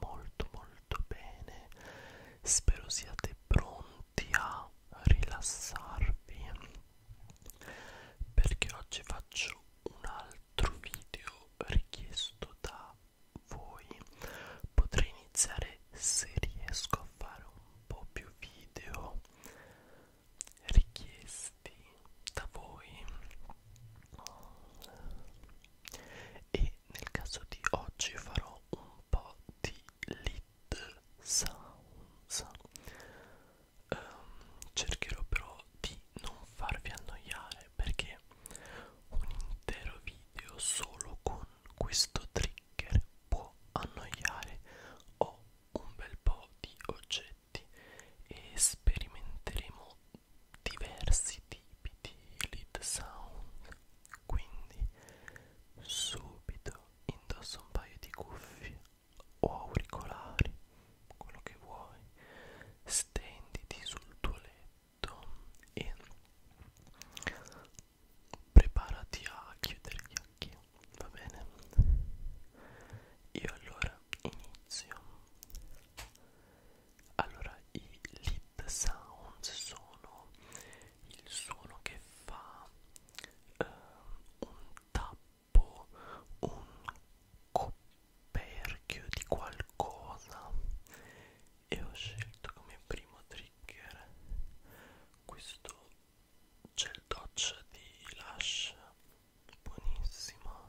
molto molto bene spero siate pronti a rilassarvi perché oggi faccio un altro video richiesto da voi potrei iniziare se riesco a fare un po' più video richiesti da voi e nel caso di oggi farò un po' di lead sounds um, cercherò però di non farvi annoiare perché un intero video solo con questo trigger può annoiare ho un bel po' di oggetti e sperimenteremo diversi tipi di lead sound quindi subito indossa un paio di cuffie o auricolari quello che vuoi stenditi sul tuo letto e preparati a chiudere gli occhi va bene io allora inizio allora i lip sound sono il suono che fa eh, un tappo un coperchio di qualcosa e ho scelto come primo trigger questo gel doccia di Lush buonissimo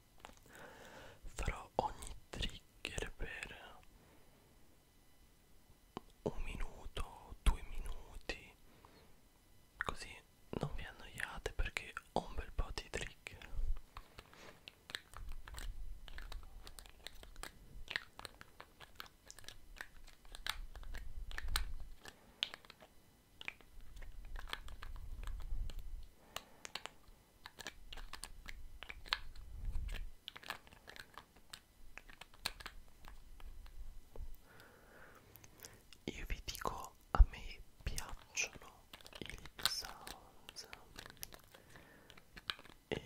farò ogni trigger per un minuto, due minuti, così non vi annoiate perché ho un bel po' di trigger. Io vi dico, a me piacciono i lip sounds e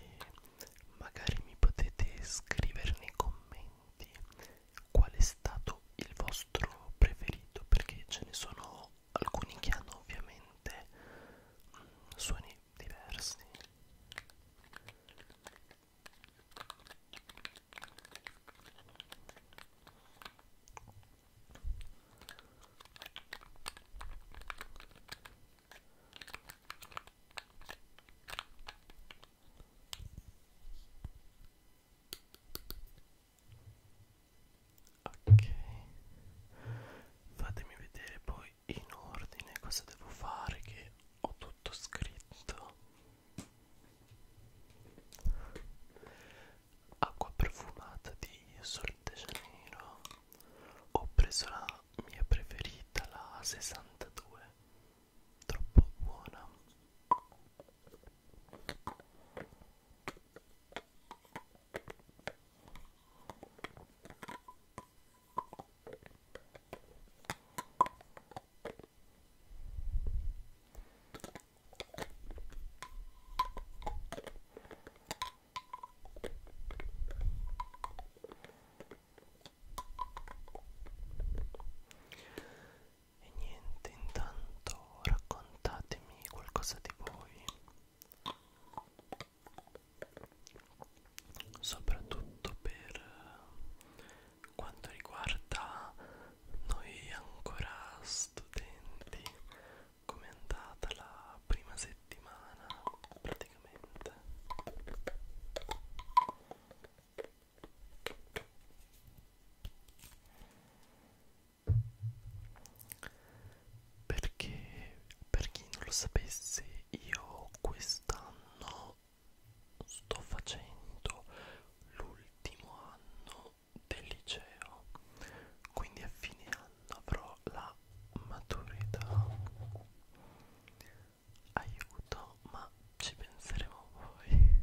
magari mi potete scrivere nei commenti qual è stato il vostro preferito perché ce ne sono alcuni che hanno ovviamente mh, mm, suoni diversi ok fatemi vedere poi in ordine cosa devo fare che ho tutto scritto acqua profumata di Sol de Janeiro ho preso la mia preferita la 62 troppo buona e niente, intanto raccontatemi qualcosa di voi soprattutto per eh, quanto riguarda noi ancora studenti come è andata la prima settimana praticamente perché per chi non lo sapesse io quest'anno sto facendo l'ultimo anno del liceo quindi a fine anno avrò la maturità aiuto ma ci penseremo poi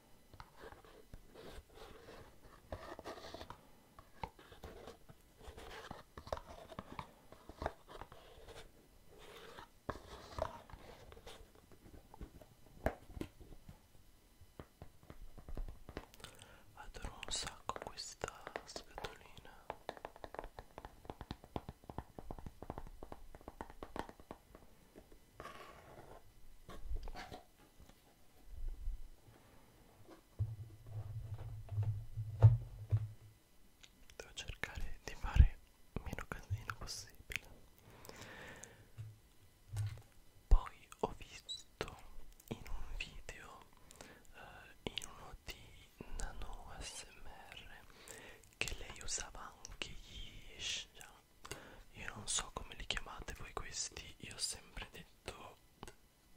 Adoro un sacco questa scatolina. Devo cercare di fare meno casino possibile. Poi ho visto in un video, eh, in uno di Nano ASMR, che lei usava anche gli io non so come li chiamate voi questi, io ho sempre detto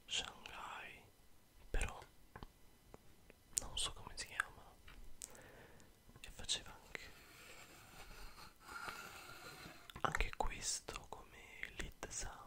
Shanghai, però non so come si chiamano. E faceva anche anche questo come lead sound.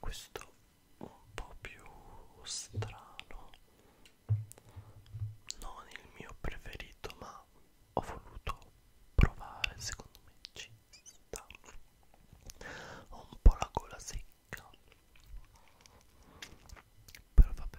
questo un po' più strano non il mio preferito ma ho voluto provare secondo me ci sta ho un po' la gola secca però vabbè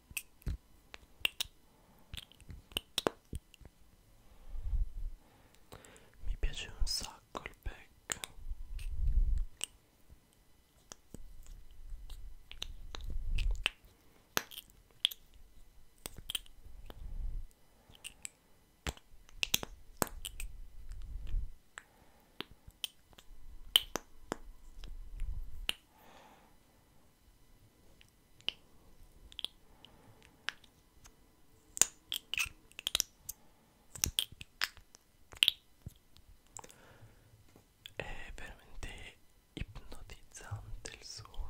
Mi piace un sacco il pack. È veramente ipnotizzante il suono.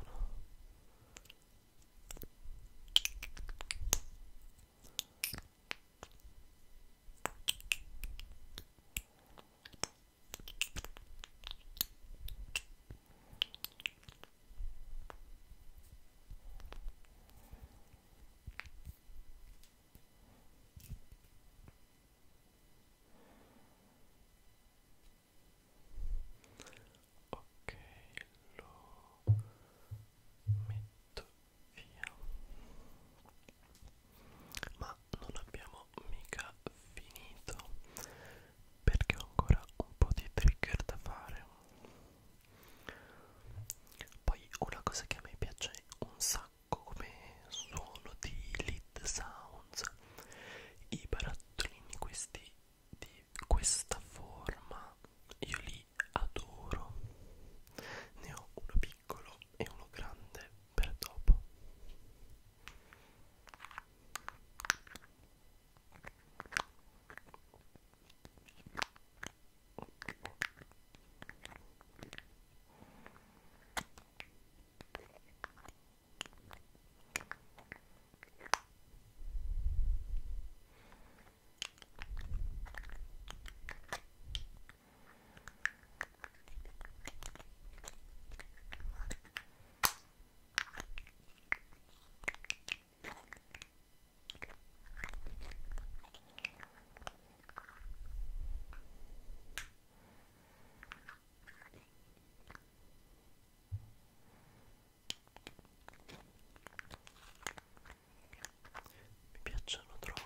Ok, lo metto via ma non abbiamo mica finito perché ho ancora un po' di trigger da fare poi una cosa che a me piace un sacco come suono di lead sounds i barattolini questi di questa forma io li adoro ne ho uno piccolo adesso e uno grande per dopo mi piacciono troppo.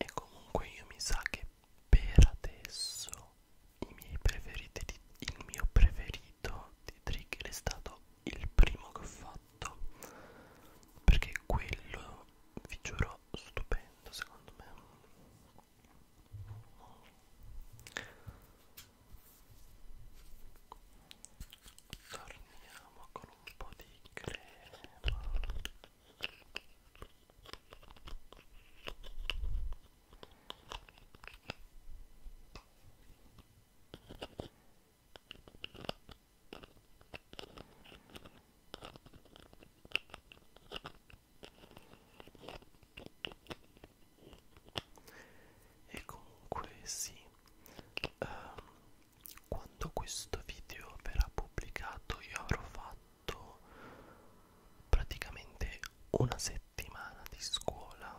E comunque io mi sa che per adesso i miei preferiti di, il mio preferito di trigger è stato il primo che ho fatto perché quello vi giuro stupendo secondo me torniamo con un po' di crema e comunque sì, um, quando questo video verrà pubblicato io avrò fatto fatto praticamente una settimana di scuola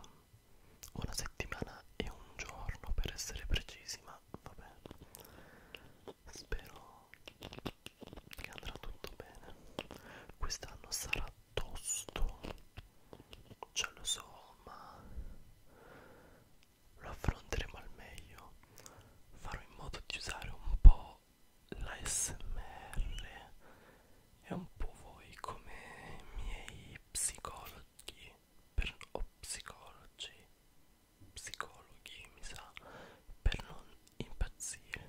una settimana e un giorno per essere precisi ma vabbè spero che andrà tutto bene quest'anno sarà tosto ce lo so ma lo affronteremo al meglio farò in modo di usare un po' po' l'ASMR e un po' voi come i miei psicologhi per, o psicologi psicologhi mi sa per non impazzire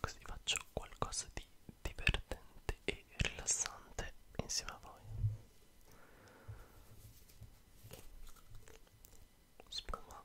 così faccio qualcosa di divertente e e rilassante insieme a voi spuma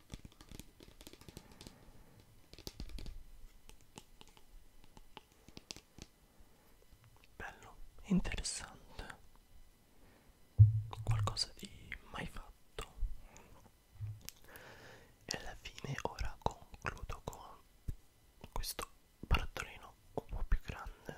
Bello, interessante, qualcosa di mai fatto. E alla fine ora concludo con questo barattolino un po' più grande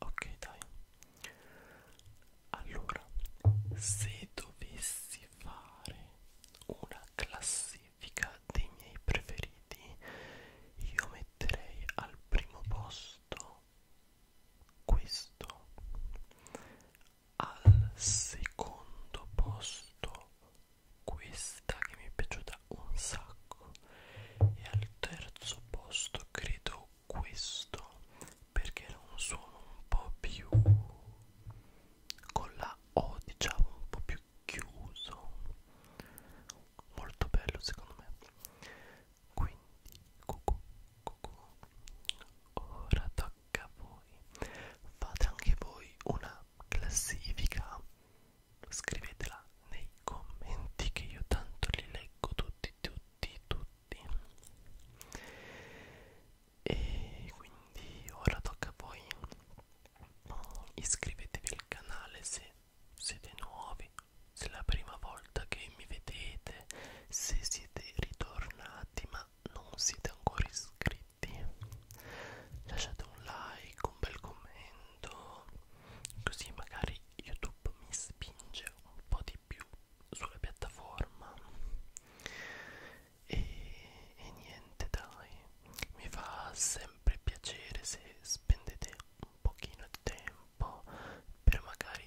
ok dai allora se dovessi fare una classifica dei miei preferiti io metterei al primo posto questo al secondo posto questa che mi è piaciuta piaciuta un sacco e al terzo posto credo questo perché era un suono un po' più con la O diciamo un po' più chiuso molto bello secondo me quindi cucù, cucù. ora tocca a voi fate anche voi una classifica scrivetela nei commenti che io tanto li leggo tutti tutti tutti e quindi ora tocca a voi iscrivetevi al canale se siete nuovi se è la prima volta che mi vedete se siete ritornati ma non siete ancora iscritti lasciate un like un bel commento così magari YouTube mi spinge un po' di più sulla piattaforma e, e niente dai mi fa sempre piacere se spendete un pochino di tempo per magari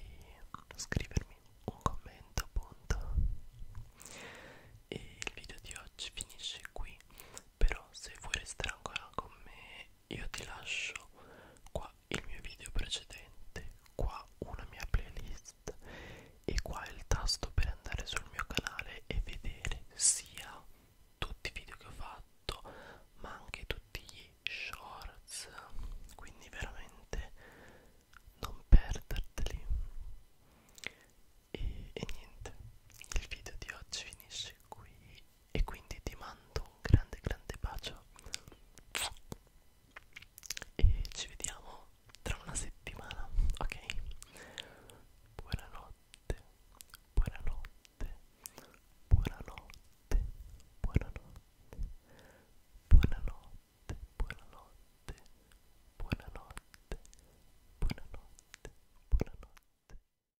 scrivermi un commento appunto e il video di oggi finisce qui però se vuoi restare ancora con me io ti lascio qua il mio video precedente, qua una mia playlist e qua il tasto per andare sul mio canale e vedere sia tutti i video che ho fatto ma anche tutti gli shorts quindi veramente non perderteli e, e niente il video di oggi finisce qui e quindi ti mando un grande grande bacio e ci vediamo tra una settimana ok buonanotte buonanotte buonanotte buonanotte buonanotte buonanotte buonanotte buonanotte buonanotte